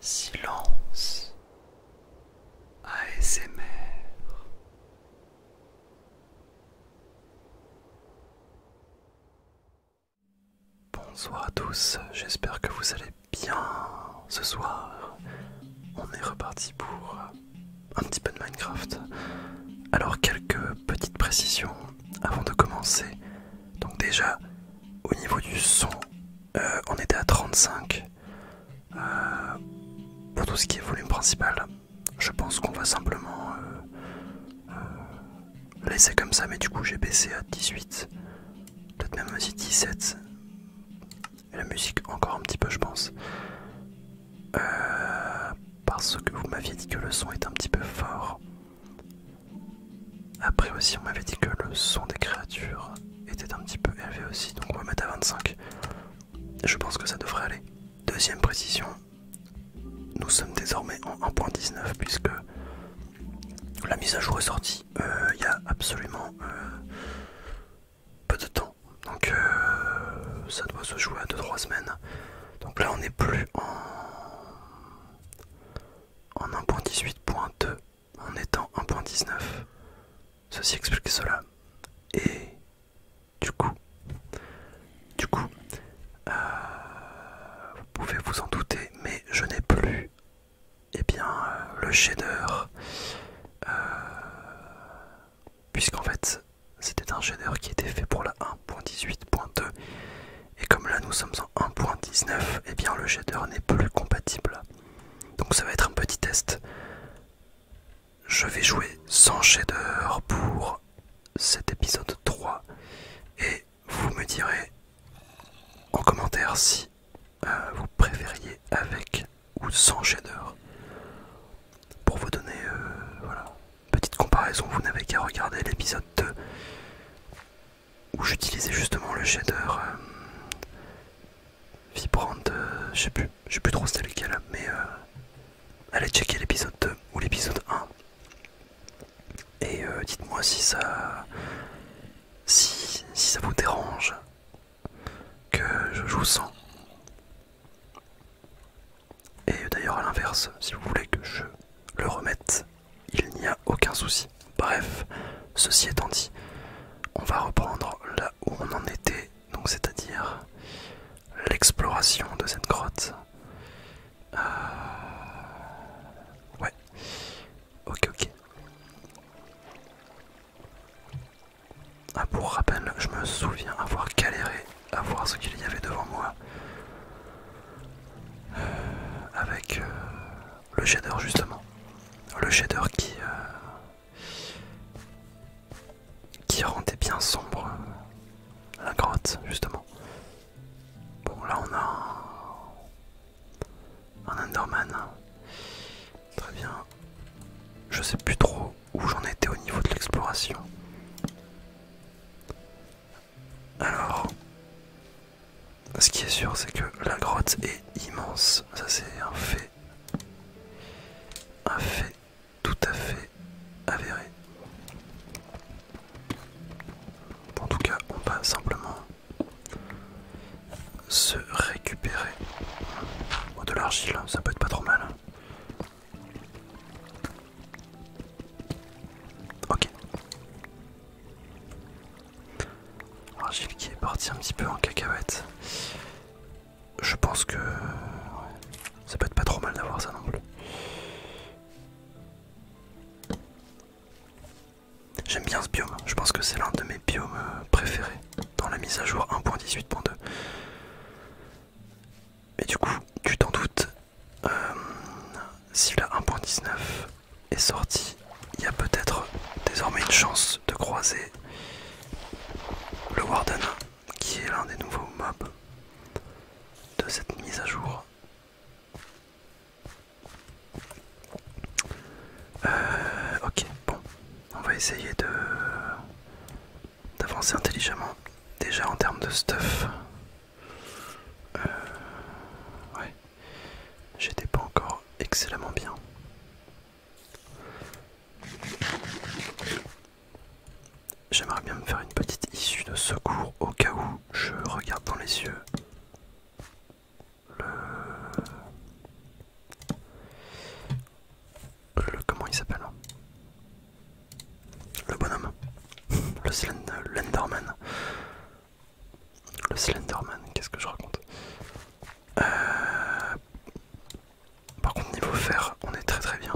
Silence ASMR Bonsoir à tous, j'espère que vous allez bien ce soir. On est reparti pour un petit peu de Minecraft. Alors quelques petites précisions avant de commencer. Donc déjà, au niveau du son, euh, on était à 35 euh, pour tout ce qui est volume principal. Je pense qu'on va simplement euh, laisser comme ça, mais du coup j'ai baissé à 18, peut-être même aussi 17. Et la musique encore un petit peu, je pense. parce que vous m'aviez dit que le son est un petit peu fort. Après aussi, on m'avait dit que le son des créatures était un petit peu élevé aussi, donc on va mettre à 25. Je pense que ça devrait aller. Deuxième précision, nous sommes désormais en 1.19 puisque la mise à jour est sortie euh, il y a absolument euh, peu de temps. Donc euh, ça doit se jouer à 2-3 semaines. Donc là on n'est plus en, en 1.18.2 en étant 1.19. Ceci explique cela. Et du coup, du coup, euh, vous pouvez vous en douter, mais je n'ai plus et eh bien, euh, le shader. Euh, puisqu'en fait, c'était un shader qui était fait pour la 1.18.2. Et comme là, nous sommes en 1.19, et eh bien le shader n'est plus compatible. Donc ça va être un petit test. Je vais jouer sans shader pour cet épisode 3 et vous me direz en commentaire si euh, vous préfériez avec ou sans shader. Pour vous donner une euh, petite comparaison, vous n'avez qu'à regarder l'épisode 2 où j'utilisais justement le shader euh, Vibrant, euh, je sais plus, je plus trop c'était lequel, mais euh, allez checker l'épisode 2 ou l'épisode 1 et dites-moi si ça, si ça vous dérange que je joue sans. Et d'ailleurs à l'inverse, si vous voulez que je le remette, il n'y a aucun souci. Bref, ceci étant dit, on va reprendre là où on en était, donc c'est-à-dire l'exploration de cette grotte. Euh... Ouais. Ok, ok. Ah, pour rappel, je me souviens avoir galéré à voir ce qu'il y avait devant moi. Euh, avec euh, le shader justement le shader qui euh, rendait bien sombre euh, la grotte justement bon là on a un, un Enderman très bien je sais plus trop où j'en étais au niveau de l'exploration alors ce qui est sûr, c'est que la grotte est immense. Ça, c'est un fait. Un fait tout à fait avéré. En tout cas, on va simplement se récupérer. Oh, de l'argile, hein. ça peut être pas trop mal. Hein. Ok. Argile qui est parti un petit peu en cacahuète. Je pense que ça peut être pas trop mal d'avoir ça non plus. J'aime bien ce biome, je pense que c'est l'un de mes biomes euh, préférés dans la mise à jour 1.18.2. Mais du coup, tu t'en doutes, euh, s'il si la 1.19 est sorti, il y a peut-être désormais une chance de croiser le Warden, qui est l'un des nouveaux mobs de cette mise à jour. Euh, ok, bon, on va essayer de d'avancer intelligemment. Déjà en termes de stuff, euh, ouais. J'étais pas encore excellemment bien. J'aimerais bien me faire une petite issue de secours au cas où je regarde dans les yeux le... le comment il s'appelle hein Le bonhomme. Le Slenderman. Le Slenderman, qu'est-ce que je raconte euh, Par contre, niveau fer, on est très très bien.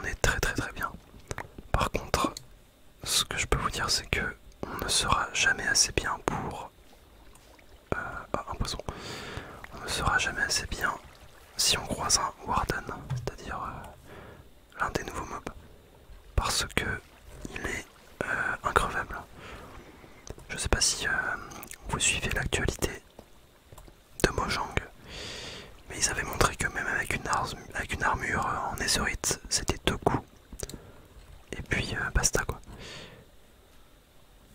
On est très très très bien. Par contre, ce que je peux vous dire, c'est que on ne sera jamais assez bien pour. Euh, ah, un poison. On ne sera jamais assez bien si on croise un Warden, c'est-à-dire euh, l'un des nouveaux mobs parce que il est euh, increvable. Je sais pas si euh, vous suivez l'actualité de Mojang, mais ils avaient montré que même avec une, armure euh, en Ezerite c'était deux coups. Et puis basta quoi.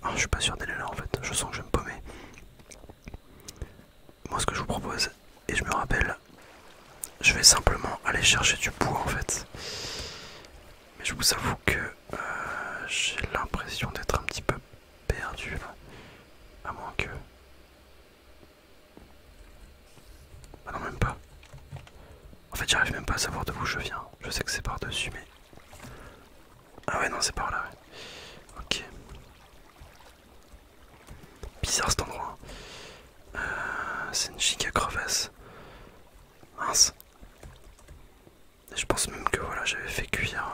Ah, je suis pas sûr d'aller là en fait, je sens que je me paumer moi ce que je vous propose, et je me rappelle, je vais simplement aller chercher du bois en fait. Mais je vous avoue que euh, j'ai l'impression d'être un petit peu perdu À moins que... Ah non même pas. En fait j'arrive même pas à savoir de où je viens. Je sais que c'est par dessus mais... Ah ouais non c'est par là Ok. Bizarre cet endroit. Hein. Euh, c'est une giga crevasse. Mince. je pense même que voilà, j'avais fait cuire.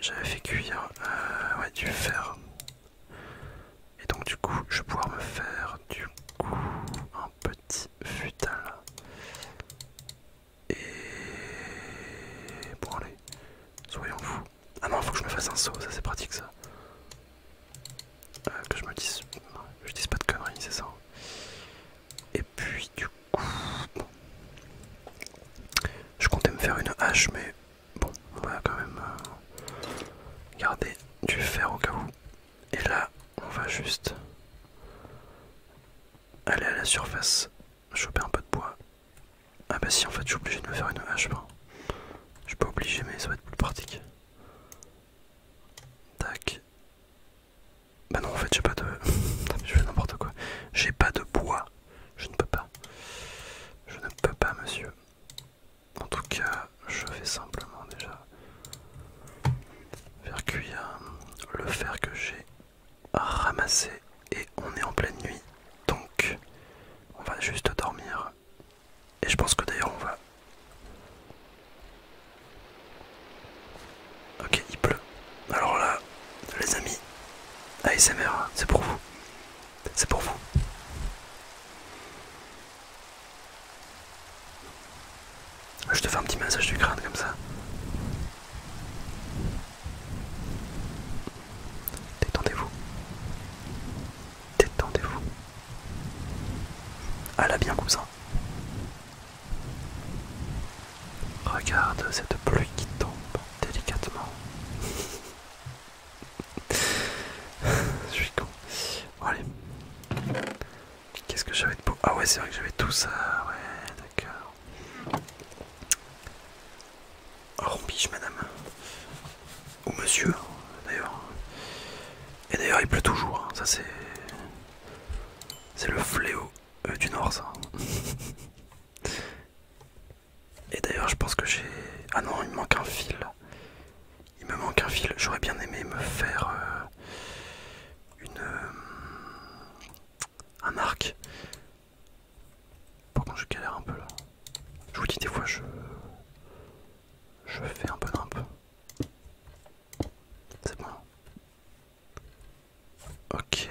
J'avais fait cuire euh, du fer. Et donc du coup, je vais pouvoir me faire du coup un petit futal. Et bon allez, soyons fous. Ah non, faut que je me fasse un saut, ça c'est pratique ça. Euh, que je me dise. je dise pas de conneries, c'est ça. Et puis du coup. Je comptais me faire une hache, mais bon, on va quand même euh, garder du fer au cas où. Et là, on va juste aller à la surface, choper un peu de bois ah bah si en fait je suis obligé de me faire une hache Je peux pas obligé mais ça va être plus pratique. Tac. Bah non en fait j'ai pas de... je fais n'importe quoi. J'ai pas de bois. Je ne peux pas. Je ne peux pas monsieur. En tout cas je vais simplement déjà faire cuire le fer que j'ai ramassé et on est en pleine nuit. Donc on va juste dormir et je pense que d'ailleurs on va... Ok, il pleut. Alors là, les amis, ASMR, c'est pour vous. C'est pour vous. Je te fais un petit massage du crâne comme ça. Détendez-vous détendez-vous. À la bien cousin. Regarde cette pluie qui tombe délicatement. Je suis con. allez. Qu'est-ce que j'avais de beau Ah ouais c'est vrai que j'avais tout ça. Ouais d'accord rompige madame. Ou monsieur, d'ailleurs. Et d'ailleurs il pleut toujours, hein. ça c'est... C'est le fléau euh, du Nord ça. Et d'ailleurs je pense que j'ai... Ah non, il me manque un fil. Il me manque un fil. J'aurais bien aimé me faire euh, une... Euh, un arc. Pourquoi je galère un peu là. Je vous dis, des fois, je, je fais un peu d'un C'est bon. Ok.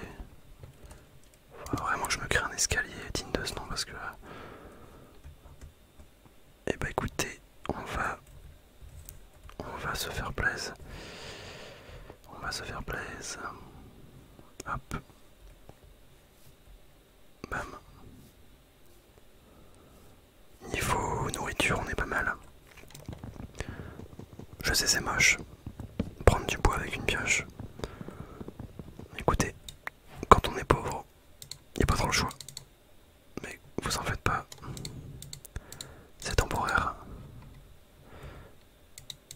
vraiment que je me crée un escalier digne de ce nom parce que Et eh bah ben, écoutez, on va. On va se faire plaise. On va se faire plaise. Hop. Bam. Niveau nourriture, on est pas mal. Je sais, c'est moche. Prendre du bois avec une pioche. Écoutez, quand on est pauvre, il n'y a pas trop le choix. Mais vous en faites pas. C'est temporaire.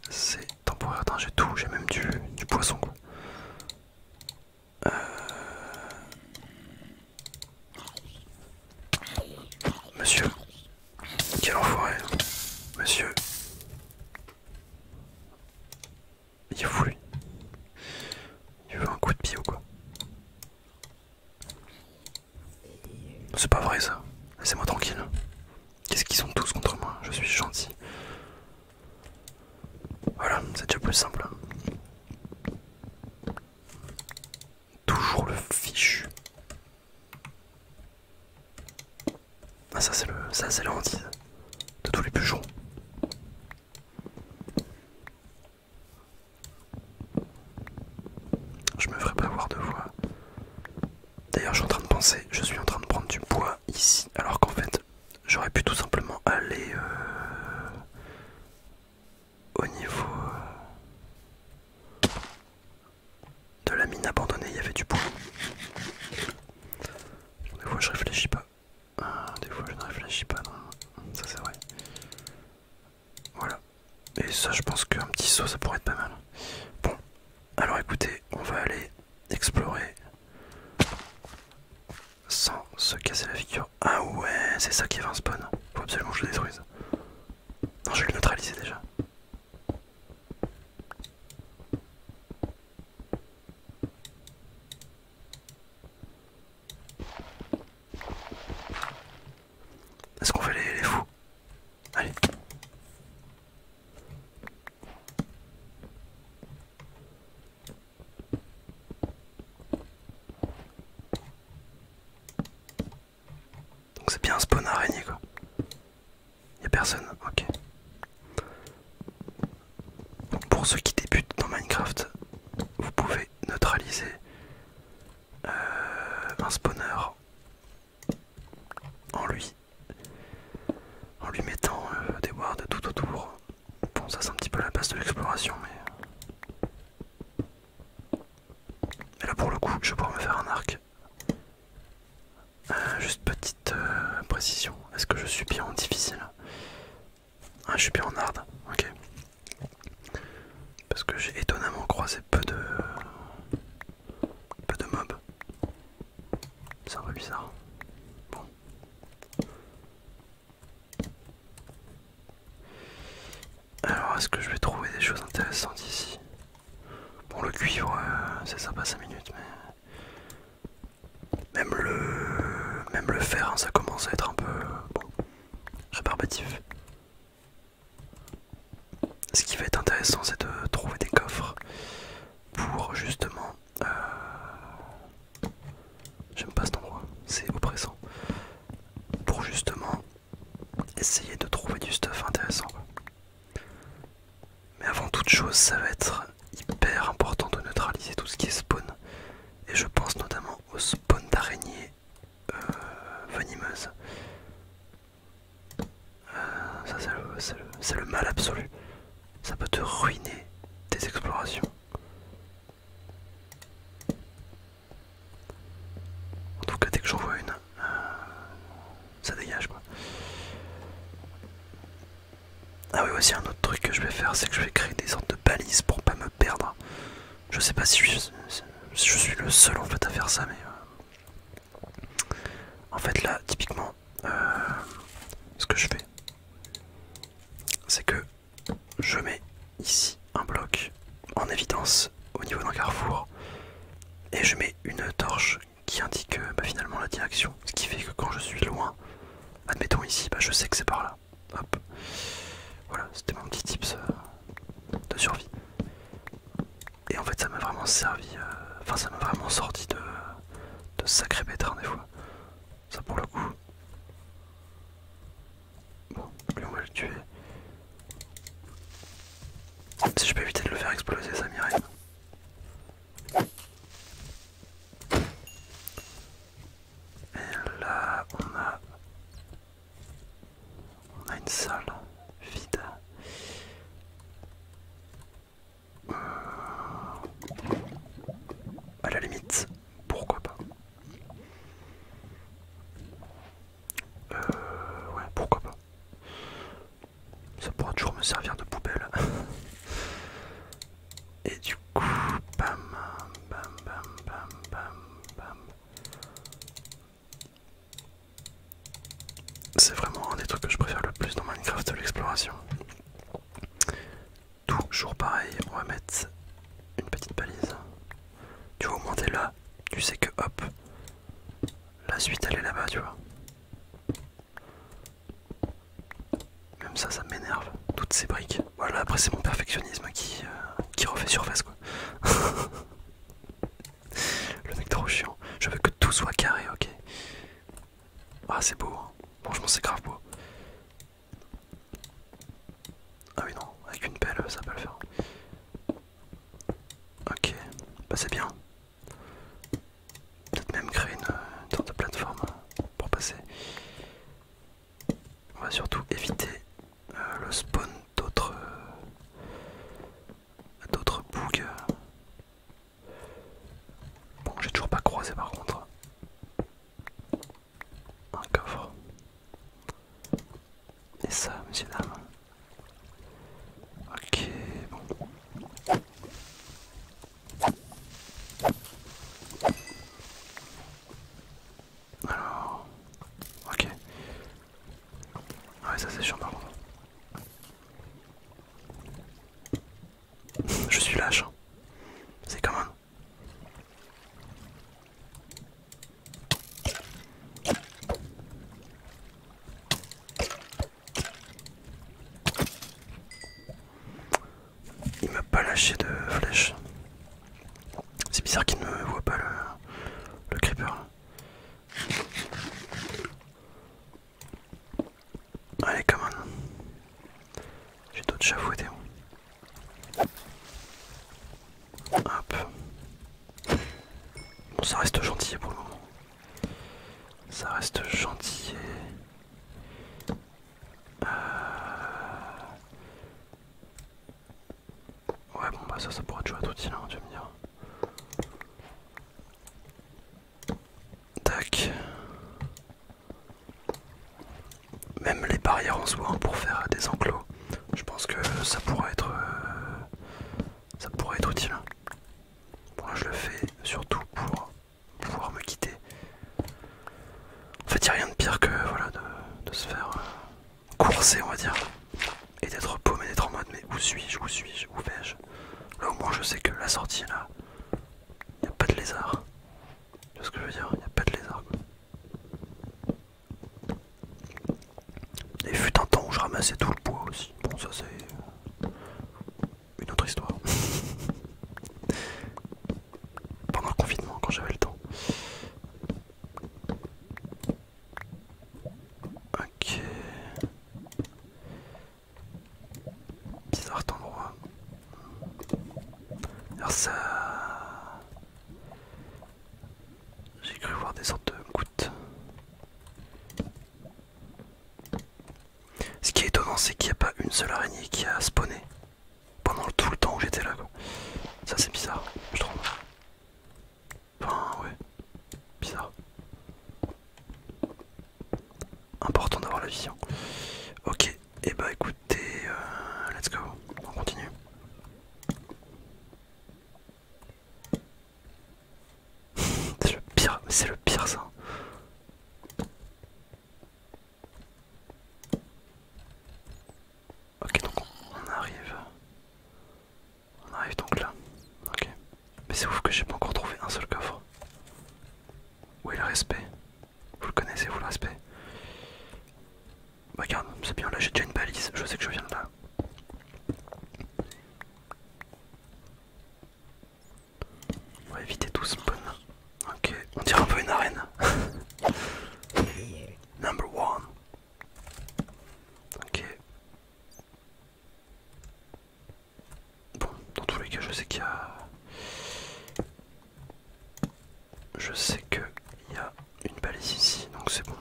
C'est temporaire. J'ai tout, j'ai même du, poisson. Euh, monsieur, quel enfoiré, monsieur. Il est fou Il veut un coup de pied ou quoi C'est pas vrai ça. Laissez-moi tranquille. Qu'est-ce qu'ils sont tous contre moi Je suis gentil. Voilà, c'est déjà plus simple. Toujours le fichu. Ah ça c'est le. ça c'est la de tous les bûcherons. Je me ferai pas avoir de voix. D'ailleurs je suis en train de penser, je suis en train de prendre du bois ici, alors qu'en fait J'aurais pu tout simplement aller euh, au niveau euh, de la mine abandonnée, il y avait du bois. Des fois je réfléchis pas. Ah, des fois je ne réfléchis pas, ça c'est vrai. Voilà. Et ça je pense qu'un petit saut ça pourrait être pas mal. Bon, alors écoutez, on va aller explorer sans se casser la figure. Ah ouais, c'est ça qui va en spawn. Faut absolument que je le détruise. Non, je vais le neutraliser déjà. Est-ce qu'on fait les, les fous Allez. Donc c'est bien un spawn araignée quoi. a personne, ok. pour ceux qui débutent dans Minecraft, vous pouvez neutraliser euh, un spawner en lui en lui mettant euh, des wards tout autour Bon, ça c'est un petit peu la base de l'exploration, mais... là pour le coup, je vais pouvoir me faire un arc. Euh, juste petite euh, précision, est-ce que je suis bien en difficile Ah, je suis bien en hard, ok. Parce que j'ai étonnamment croisé peu de... peu de mobs. C'est un peu bizarre. Bon. Alors, est-ce que je vais trouver des choses intéressantes ici Bon, le cuivre, euh, c'est sympa 5 minutes, mais. Même le. Même le fer, hein, ça commence à être un peu. Bon. Rébarbatif. Ce qui va être intéressant, c'est de trouver des coffres pour justement euh, j'aime pas cet endroit, c'est oppressant. Pour justement essayer de trouver du stuff intéressant. Mais avant toute chose, ça va être hyper important de neutraliser tout ce qui est spawn. Et je pense notamment au spawn d'araignées euh, venimeuses. Euh, ça c'est le mal absolu. Ça peut te ruiner tes explorations. En tout cas, dès que j'en vois une, euh, ça dégage quoi. Ah oui, aussi un autre truc que je vais faire, c'est que je vais créer des sortes de balises pour pas me perdre. Je sais pas si je, suis le seul en fait à faire ça, mais euh, en fait là, typiquement, euh, ce que je fais, c'est que je mets ici un bloc en évidence au niveau d'un carrefour et je mets une torche qui indique euh, bah, finalement la direction ce qui fait que quand je suis loin admettons ici bah, je sais que c'est par là voilà c'était mon petit tips euh, de survie et en fait ça m'a vraiment servi euh, enfin ça m'a vraiment sorti de, de sacré pétrin des fois ça pour le coup. Bon, lui on va le tuer. Si je peux éviter de le faire exploser, ça m'irait. Et là, on a... On a une salle vide. Euh, à la limite, pourquoi pas. Euh, ouais, pourquoi pas. Ça pourra toujours me servir de poubelle. Et du coup, bam, bam, bam, bam, bam, bam. C'est vraiment un des trucs que je préfère le plus dans Minecraft, l'exploration. Toujours pareil, on va mettre une petite balise. Tu vas augmenter là, tu sais que hop, la suite elle est là-bas, tu vois. Même ça, ça m'énerve, toutes ces briques. Voilà, après c'est mon perfectionnisme qui, euh, qui refait surface quoi. Le mec trop chiant, je veux que tout soit carré, ok. Ah c'est beau, hein. franchement c'est grave beau. Ah oui non, avec une pelle ça peut le faire. Ok, bah c'est bien. Peut-être même créer une, sorte de plateforme pour passer. On va surtout éviter euh, le spawn d'autres d'autres bugs. Bon, j'ai toujours pas croisé par contre un coffre. Et ça, monsieur dame. Ok, bon. Alors, ok. Ah ça c'est chiant Je suis lâche. Hein. C'est comment? Il m'a pas lâché de flèche. C'est bizarre qu'il ne voit pas le, le creeper. Allez, comment j'ai d'autres chavouettes Hop. Bon, ça reste gentil pour le moment. Ça reste gentil. Euh, ouais, bon, bah ça, ça pourrait toujours de suite, hein, tu vas me dire. Tac. Même les barrières en soi hein, pour faire des enclos, je pense que ça pourrait être euh, ça pourrait être utile. Moi je le fais surtout pour pouvoir me quitter. En fait il n'y a rien de pire que voilà de, se faire euh, courser on va dire. Et d'être paumé, d'être en mode mais où suis-je, où suis-je, où vais-je Là au moins je sais que la sortie là, il n'y a pas de lézard. Tu vois ce que je veux dire Il n'y a pas de lézard et fut un temps où je ramassais tout le bois aussi. Bon, ça c'est une autre histoire. Pendant le confinement, quand j'avais le temps. Ok. Bizarre endroit. Alors ça... J'ai cru voir des sortes de gouttes. Ce qui est étonnant, c'est qu'il n'y a pas une seule araignée qui a spawné pendant tout le temps où j'étais là. Ça, c'est bizarre, je trouve. Enfin, ouais, bizarre. Important d'avoir la vision. Ok, et eh bah ben, écoutez, euh, let's go, on continue. c'est le pire, c'est le pire ça. Ok donc on arrive. On arrive donc là. Ok. Mais c'est ouf que j'ai pas encore trouvé un seul coffre. Où est le respect vous le connaissez, vous l'aspect bah, regarde, c'est bien, là j'ai déjà une balise, je sais que je viens de là. On va éviter tout spawn. Ok, on dirait un peu une arène. Number one. Ok. Bon, dans tous les cas, je sais qu'il y a je sais que il y a une balise ici, donc c'est bon.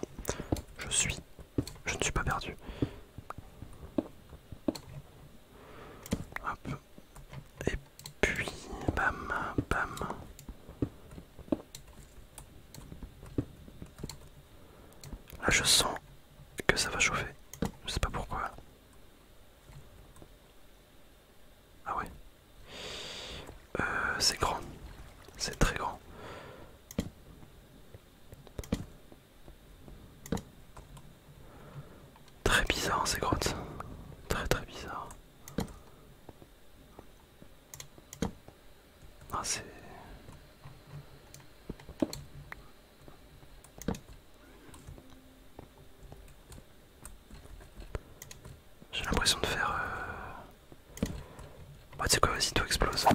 Je suis, je ne suis pas perdu. Hop. Et puis bam, bam. Là, je sens que ça va chauffer. Je sais pas pourquoi. Ah ouais. Euh, c'est grand. C'est très grand. Très bizarre ces grottes. Très très bizarre. Ah j'ai l'impression de faire... Euh... Bah quoi, vas-y, tout explose.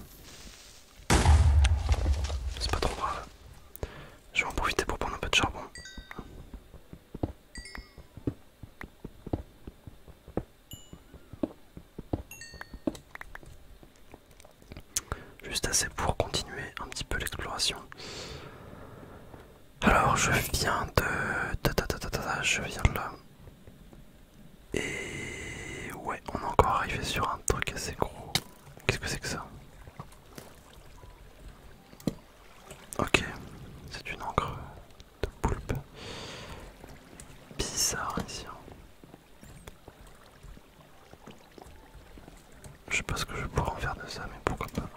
C'est pas trop grave. Je vais en profiter pour prendre un peu de charbon. Juste assez pour continuer un petit peu l'exploration. Alors je viens de... Je viens là. Et... Ouais, on est encore arrivé sur un truc assez gros. Qu'est-ce que c'est que ça Ok, c'est une encre de poulpe. Bizarre ici. Hein. Je sais pas ce que je pourrais en faire de ça, mais pourquoi pas.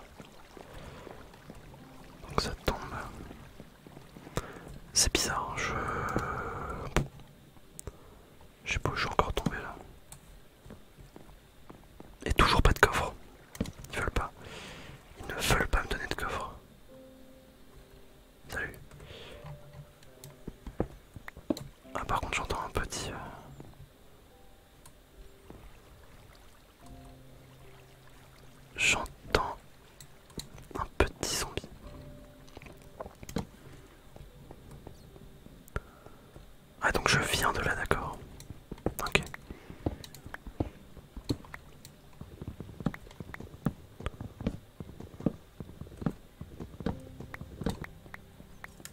Donc ça tombe. C'est bizarre, je... Je sais pas où je suis encore tombé là. Et toujours pas de coffre. Ils veulent pas. Ils ne veulent pas me donner de coffre. Salut. Ah par contre j'entends un petit... Euh, J'entends un petit zombie. Ah donc je viens de là d'accord. Ok.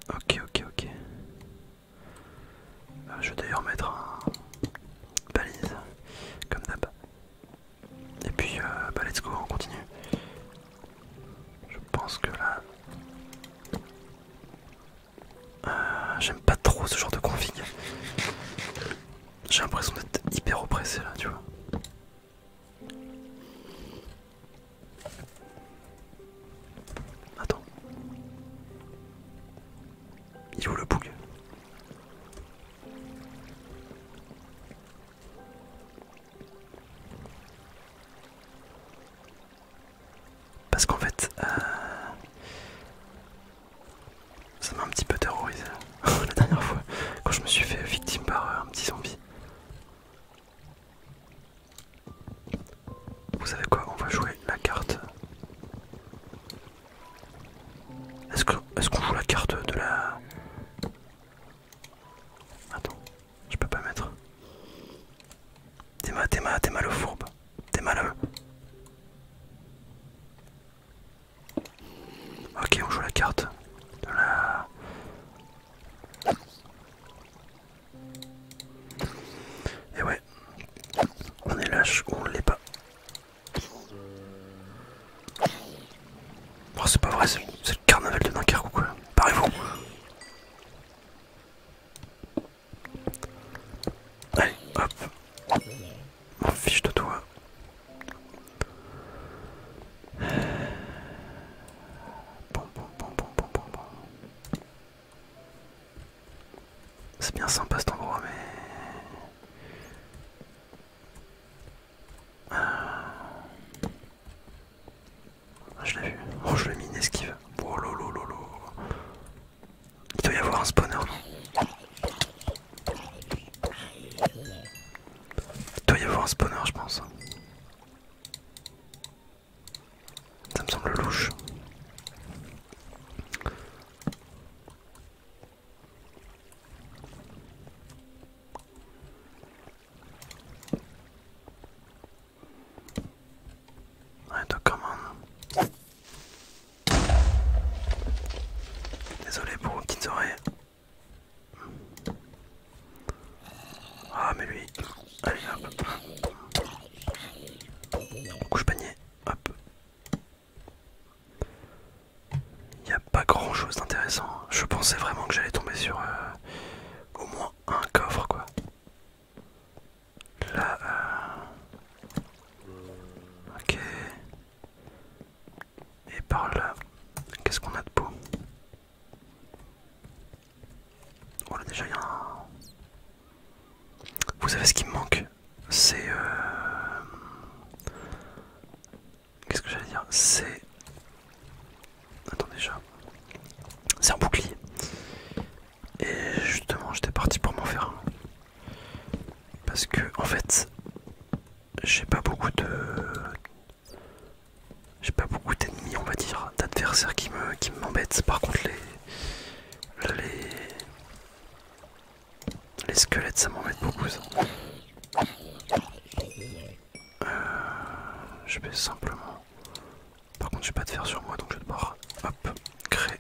Ok ok ok. Euh, je vais d'ailleurs mettre un balise comme d'hab. Et puis, euh, bah, let's go, on continue. Je pense que là. Euh, j'aime pas trop ce genre de config. J'ai l'impression d'être hyper oppressé là, tu vois. Attends. Il ouvre le bug parce qu'en fait, euh, ça m'a un petit peu terrorisé la dernière fois quand je me suis fait victime par euh, un petit zombie. Vous savez quoi On va jouer la carte est-ce qu'on joue la carte de la... Attends, je peux pas mettre. T'es mal, t'es mal, t'es mal au fourbe. T'es mal Ok, on joue la carte de la... Et ouais, on est lâche ou on l'est pas. Bon oh, c'est pas vrai, c'est le carnaval de Dunkerque ou quoi Parez-vous Allez, hop M'en fiche de toi C'est bien sympa cet endroit, mais... Ah, je l'ai vu. Oh, je l'ai mis une esquive. Oh, lolo, lolo. Il doit y avoir un spawner, Il doit y avoir un spawner, je pense. Ça me semble louche comment Désolé pour vos petites oreilles. Ah mais lui, allez hop. Couche panier, hop. Il n'y a pas grand chose d'intéressant. Je pensais vraiment que j'allais tomber sur euh, au moins un coffre quoi. Là... Euh... Ok. Et par là, qu'est-ce qu'on a de beau Oh là déjà il un... Vous savez ce qui me manque C'est... Euh... Qu'est-ce que j'allais dire C'est. Attendez, déjà. C'est un bouclier. Et justement, j'étais parti pour m'en faire un. Parce que, en fait, j'ai pas beaucoup de. J'ai pas beaucoup d'ennemis, on va dire, d'adversaires qui me qui m'embêtent. Par contre, les. Les. Les squelettes, ça met beaucoup ça. Euh, je vais simplement. Par contre, j'ai pas de fer sur moi donc je vais devoir créer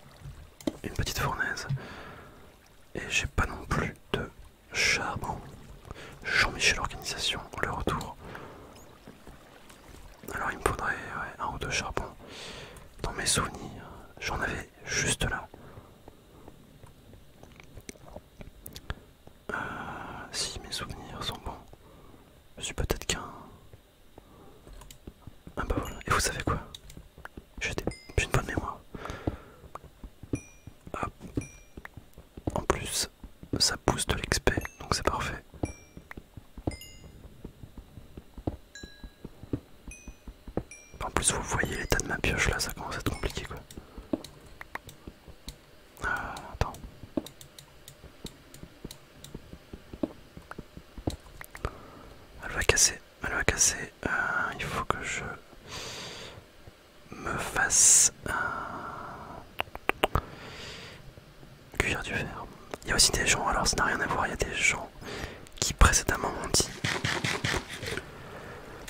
une petite fournaise. Et j'ai pas non plus de charbon. Jean-Michel Organisation, l'organisation le retour. Alors il me faudrait un ou deux charbons. Dans mes souvenirs, j'en avais juste là. Euh, si mes souvenirs sont bons, je suis peut-être qu'un. Ah bah voilà. Et vous savez quoi J'ai une bonne mémoire. Ah. En plus, ça pousse de l'XP, donc c'est parfait. En plus, vous voyez l'état de ma pioche là, ça commence à être compliqué quoi. Ah, attends. Elle va casser, elle va casser. Euh, il faut que je me fasse un cuire du verre. Il y a aussi des gens, alors ça n'a rien à voir, il y a des gens qui précédemment m'ont dit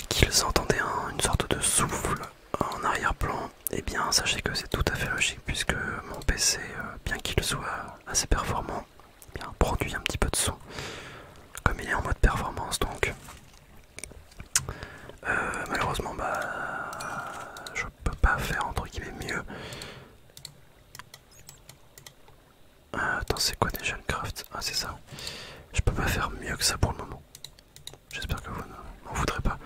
qu'ils entendaient une sorte de souffle en arrière-plan, et eh bien sachez que c'est tout à fait logique puisque mon PC, euh, bien qu'il soit assez performant, eh produit un petit peu de son comme il est en mode performance donc euh, malheureusement bah je peux pas faire entre guillemets mieux euh, attends c'est quoi déjà ah c'est ça je peux pas faire mieux que ça pour le moment. J'espère que vous ne m'en voudrez pas.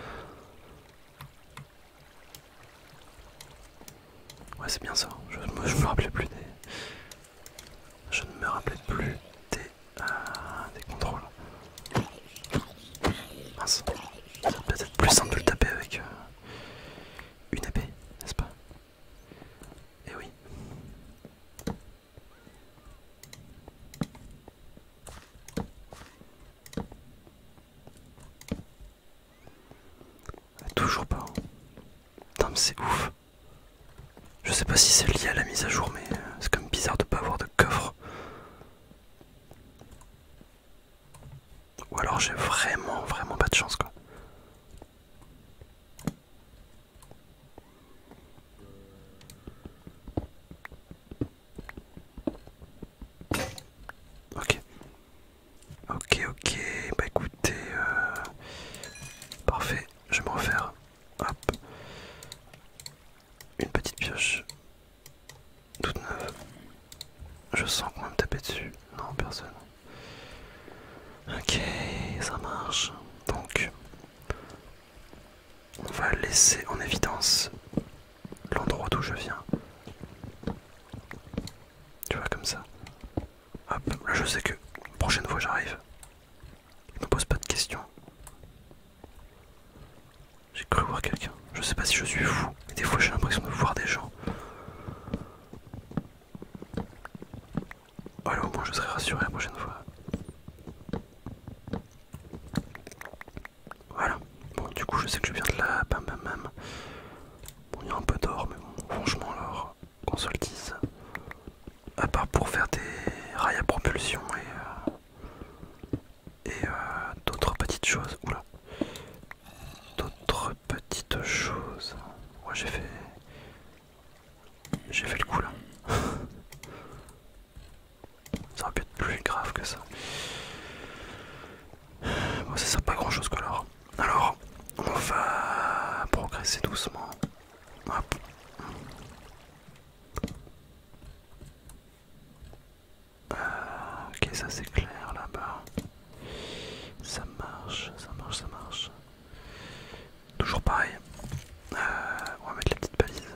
Ouais, c'est bien ça. Je, me rappelais plus des. Je ne me rappelais plus des. Euh, des contrôles. Mince. peut être plus simple de le taper avec. Euh, une épée, n'est-ce pas Et eh oui. Toujours pas. Hein. Putain c'est ouf. Je sais pas si c'est lié à la mise à jour mais euh, c'est quand même bizarre de pas avoir de coffre. Ou alors j'ai vraiment vraiment pas de chance quoi. Ok. Ok, ok. Bah écoutez, euh, parfait. Je vais me refaire. Hop. Une petite pioche. Toute neuve. Je sens qu'on me taper dessus. Non, personne. Ok, ça marche. Donc, on va laisser en évidence l'endroit d'où je viens. Tu vois, comme ça. Hop, là je sais que prochaine fois j'arrive. Ne pose pas de questions. J'ai cru voir quelqu'un. Je sais pas si je suis fou, mais des fois j'ai l'impression de voir des gens. Alors au moins je serai rassuré la prochaine fois. Voilà, bon, du coup, je sais que je viens de là, bam bam bam. Bon, il y a un peu d'or, mais bon, franchement, alors, qu'on se le dise, à part pour faire des rails à propulsion et, euh, et euh, d'autres petites choses. Oula, d'autres petites choses. Moi, j'ai fait. J'ai fait le coup là. ça aurait pu être plus grave que ça. Bon, ça sert pas grand chose que alors. Alors, on va progresser doucement. Hop. Euh, ok, ça c'est clair là-bas. Ça marche, ça marche, ça marche. Toujours pareil. Euh, on va mettre la petite balise.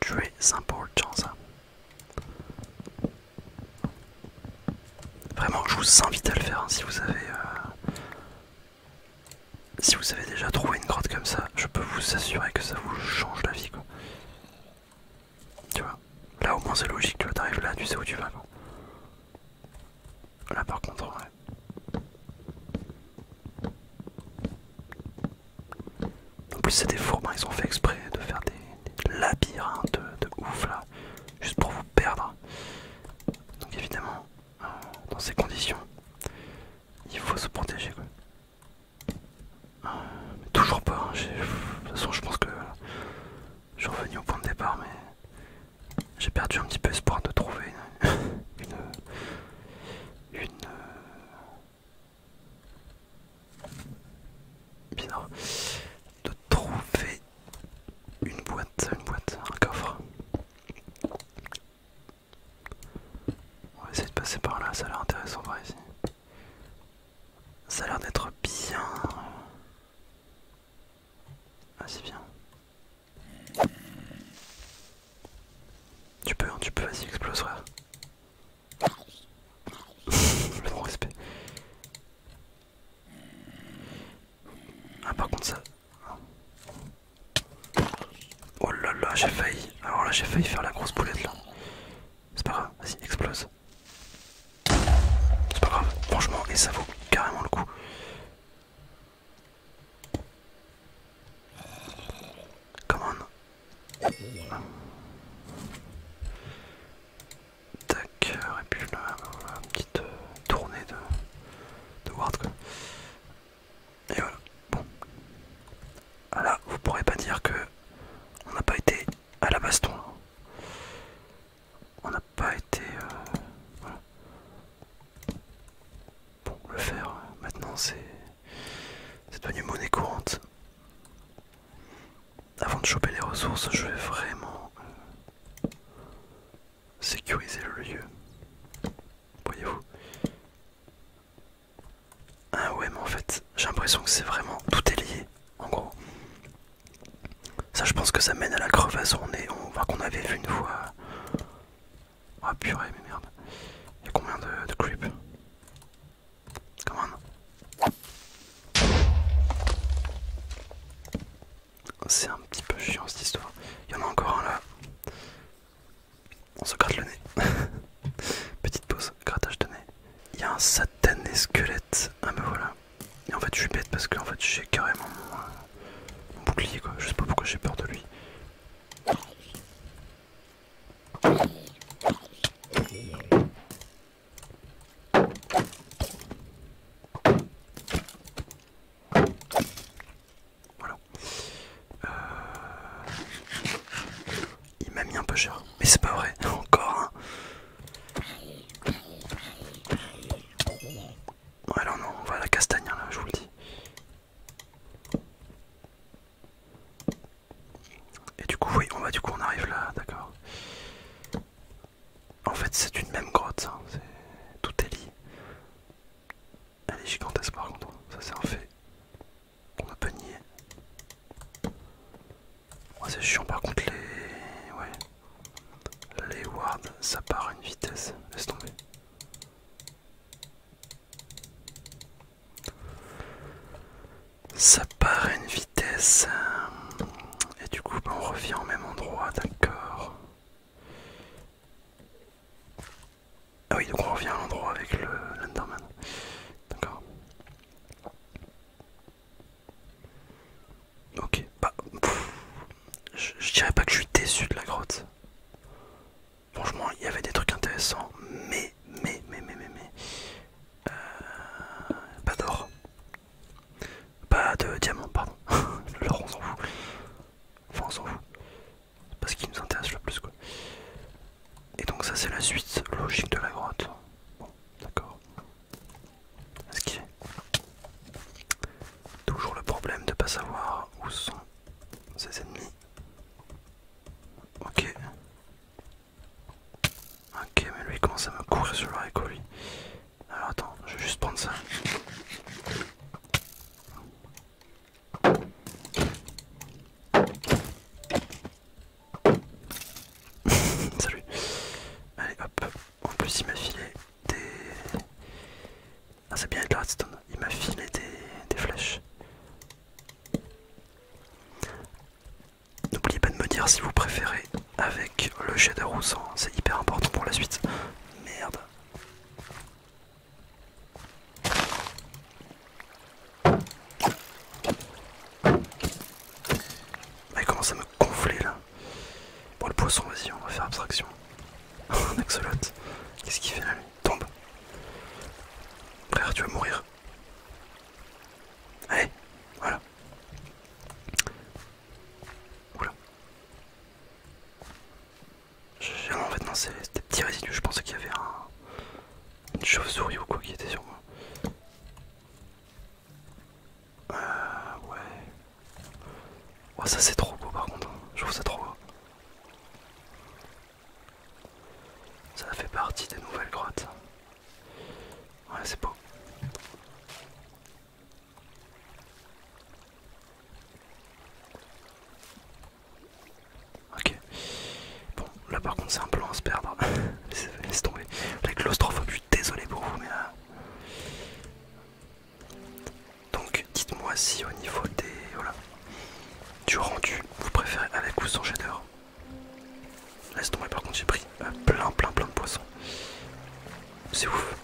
Très important chance Vraiment, je vous invite à le faire hein, si vous avez... Euh, si vous avez déjà trouvé une grotte comme ça, je peux vous assurer que ça vous change la vie Tu vois, là au moins c'est logique, tu arrives là, tu sais où tu vas Là par contre, ouais. En plus, c'est des fourmis. ils ont fait exprès de faire des, labyrinthes de, ouf là, juste pour vous perdre. Donc, évidemment, euh, dans ces conditions, il faut se protéger euh, toujours pas, hein, de toute façon, je pense que je suis revenu au point de départ, mais j'ai perdu un petit peu espoir de trouver une, une, euh, de trouver une boîte, une boîte, un coffre. On va essayer de passer par là, ça a l'air intéressant par ici. Ça a l'air d'être bien. Ah c'est bien. Tu peux, hein, tu peux, vas-y, explose, frère. Le bon respect. Ah, par contre, ça. Oh là là, j'ai failli. Alors là, j'ai failli faire la grosse boulette là. C'est pas grave, vas-y, explose. C'est pas grave, franchement, et ça vaut carrément le coup. Come on. Tac, et puis là, bah une petite euh, tournée de, de Ward Et voilà, bon. Alors, ah vous pourrez pas dire que on n'a pas été à la baston. On n'a pas été... Euh, voilà bon, le fer, maintenant c'est devenu monnaie courante. Avant de choper les ressources, je vais vraiment euh, sécuriser le lieu. Voyez-vous Ah ouais, mais en fait, j'ai l'impression que c'est vraiment tout est lié, en gros. Ça, je pense que ça mène à la crevasse. On est, on voit qu'on avait vu une fois ah oh, purée, mais merde. y'a combien de, creeps creep Come C'est un petit peu chiant cette histoire. Il y en a encore un là. On se gratte le nez. Petite pause, grattage de nez. Il y a un satané squelette. Ah bah voilà. Et en fait je suis bête parce que fait j'ai carrément mon bouclier quoi. Je sais pas pourquoi j'ai peur de lui. Voilà. Euh, il m'a mis un peu cher, mais c'est pas vrai, encore. Hein. alors non, on va la castagne, hein, là, je vous le dis. Et du coup, oui, on va du coup on arrive là, d'accord. En fait, c'est une même grotte, hein, c'est tout est lié. Elle est gigantesque par contre, hein. ça c'est un fait. qu'on ne peut nier. c'est chiant par contre les... Ouais. Les wards, ça part à une vitesse. Laisse tomber. Ça part à une vitesse. Euh, et du coup, ben, on revient au même endroit, d'accord. Ah oui, donc on revient à l'endroit avec le Lenderman. D'accord. Ok, bah. je dirais pas que je suis déçu de la grotte. Franchement, il y avait des trucs intéressants, mais, mais, mais, mais, mais, mais. Euh, pas d'or. Pas de diamant, pardon. L'or, on s'en fout. Enfin, on s'en fout. C'est pas ce qui nous intéresse le plus, quoi. Et donc, ça, c'est la suite logique de la grotte. Bon, d'accord. est Toujours le problème de pas savoir où sont ses ennemis. Ok. Ok, mais lui il commence à me courir sur le haricot lui. Alors attends, je vais juste prendre ça. Salut. Allez hop. En plus il m'a filé des... Ah c'est bien avec le redstone, il m'a filé des, flèches. N'oubliez pas de me dire si vous préférez avec le shader ou sans, c'est hyper important pour la suite. Merde. Ah, il commence à me gonfler là. Bon le poisson vas-y on va faire abstraction. Un axolot, Qu'est-ce qu'il fait là Tombe. Frère, tu vas mourir. Allez, voilà. Oula. J'ai en fait non c'est des petits résidus, je pensais qu'il y avait un, une chauve-souris ou quoi qui était sur moi. Euh ouais. Oh ça c'est trop beau par contre, hein. je trouve ça trop beau. Ça fait partie des nouvelles grottes. Ouais, c'est beau. Ok. Bon, là par contre c'est un plan à se perdre. tomber les tomber. La suis désolé pour vous, mais... là... Euh, donc dites-moi si au niveau des voilà du rendu vous préférez avec ou sans shader. Laisse tomber par contre j'ai pris euh, plein plein plein de poissons. C'est ouf.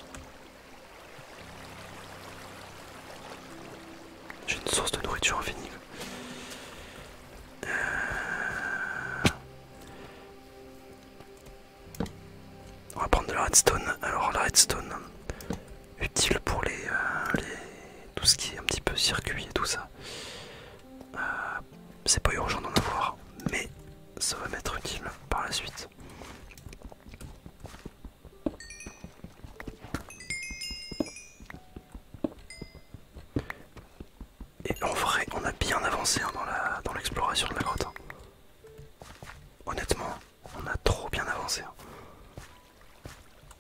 J'ai une source de nourriture infinie. Euh, on va prendre de la redstone. Alors la redstone, utile pour euh, les, tout ce qui est un petit peu circuit et tout ça. Euh, c'est pas urgent d'en avoir, mais ça va m'être utile par la suite. Et en vrai, on a bien avancé hein, la dans l'exploration de la grotte. Hein. Honnêtement, on a trop bien avancé. Hein.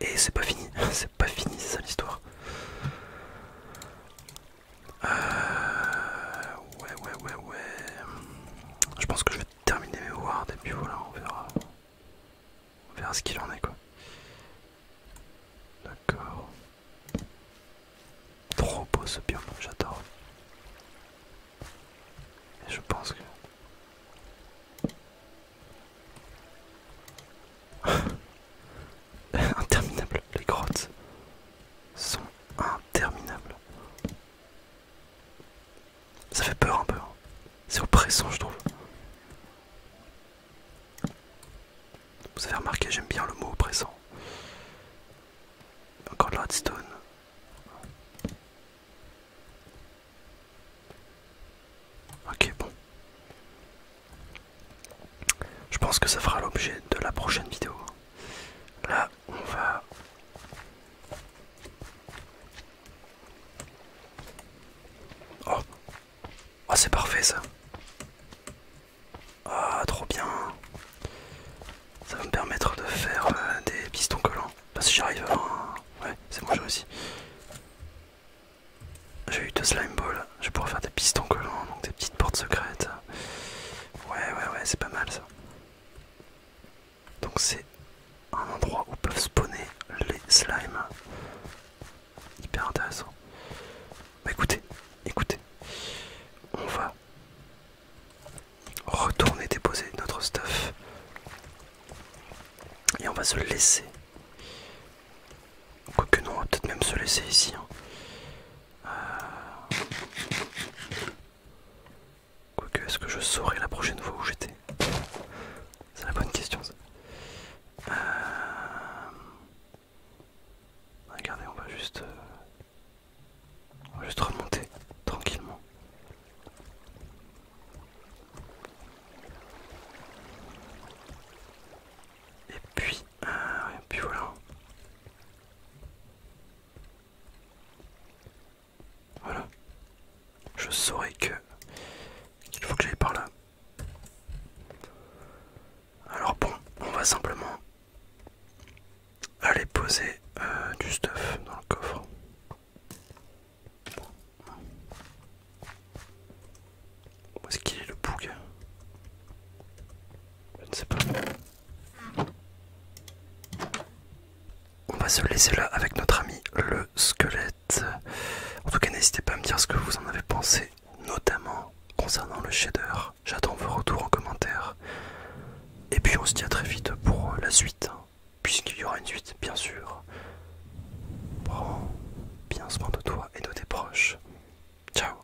Et c'est pas fini, c'est pas fini ça l'histoire. Euh, ouais, ouais, ouais, ouais. Je pense que je vais terminer mes wards et puis voilà, on verra. On verra ce qu'il en est quoi. D'accord. Trop beau ce biome, j'adore. Et je pense que Interminables, les grottes sont interminables. Ça fait peur un peu. Hein. C'est oppressant je trouve. Vous avez remarqué, j'aime bien le mot oppressant. Encore de la Ok, bon. Je pense que ça fera l'objet de la prochaine vidéo. Là, on va... Oh, ah, c'est parfait ça. Ah, trop bien. Ça va me permettre de faire euh, des pistons collants. parce si j'arrive à... Ouais, c'est moi j'ai réussi. J'ai eu deux slime balls, je vais pouvoir faire des pistons collants, donc des petites portes secrètes. Ouais, ouais, ouais, c'est pas mal ça. Donc c'est un endroit où peuvent spawner les slimes. Hyper intéressant. Bah écoutez, écoutez, on va retourner déposer notre stuff et on va se laisser. Quoique non, on va peut-être même se laisser ici. Hein. Euh. Quoique, est-ce que je saurai la prochaine fois où j'étais C'est la bonne question ça. Euh. Regardez, on va juste... Euh, on va juste remonter tranquillement. Et puis, euh, puis voilà. Voilà. Je saurais que qu'il faut que j'aille par là. Alors bon, on va simplement aller poser euh, du stuff dans le coffre. Où est-ce qu'il est le bouc Je ne sais pas. On va se laisser là avec notre ami le squelette. En tout cas, n'hésitez pas à me dire ce que vous en avez pensé, notamment concernant le shader. J'attends vos retours en commentaire. Et puis on se dit à très vite pour la suite, hein. puisqu'il y aura une suite, bien sûr bien soin de toi et de tes proches. Ciao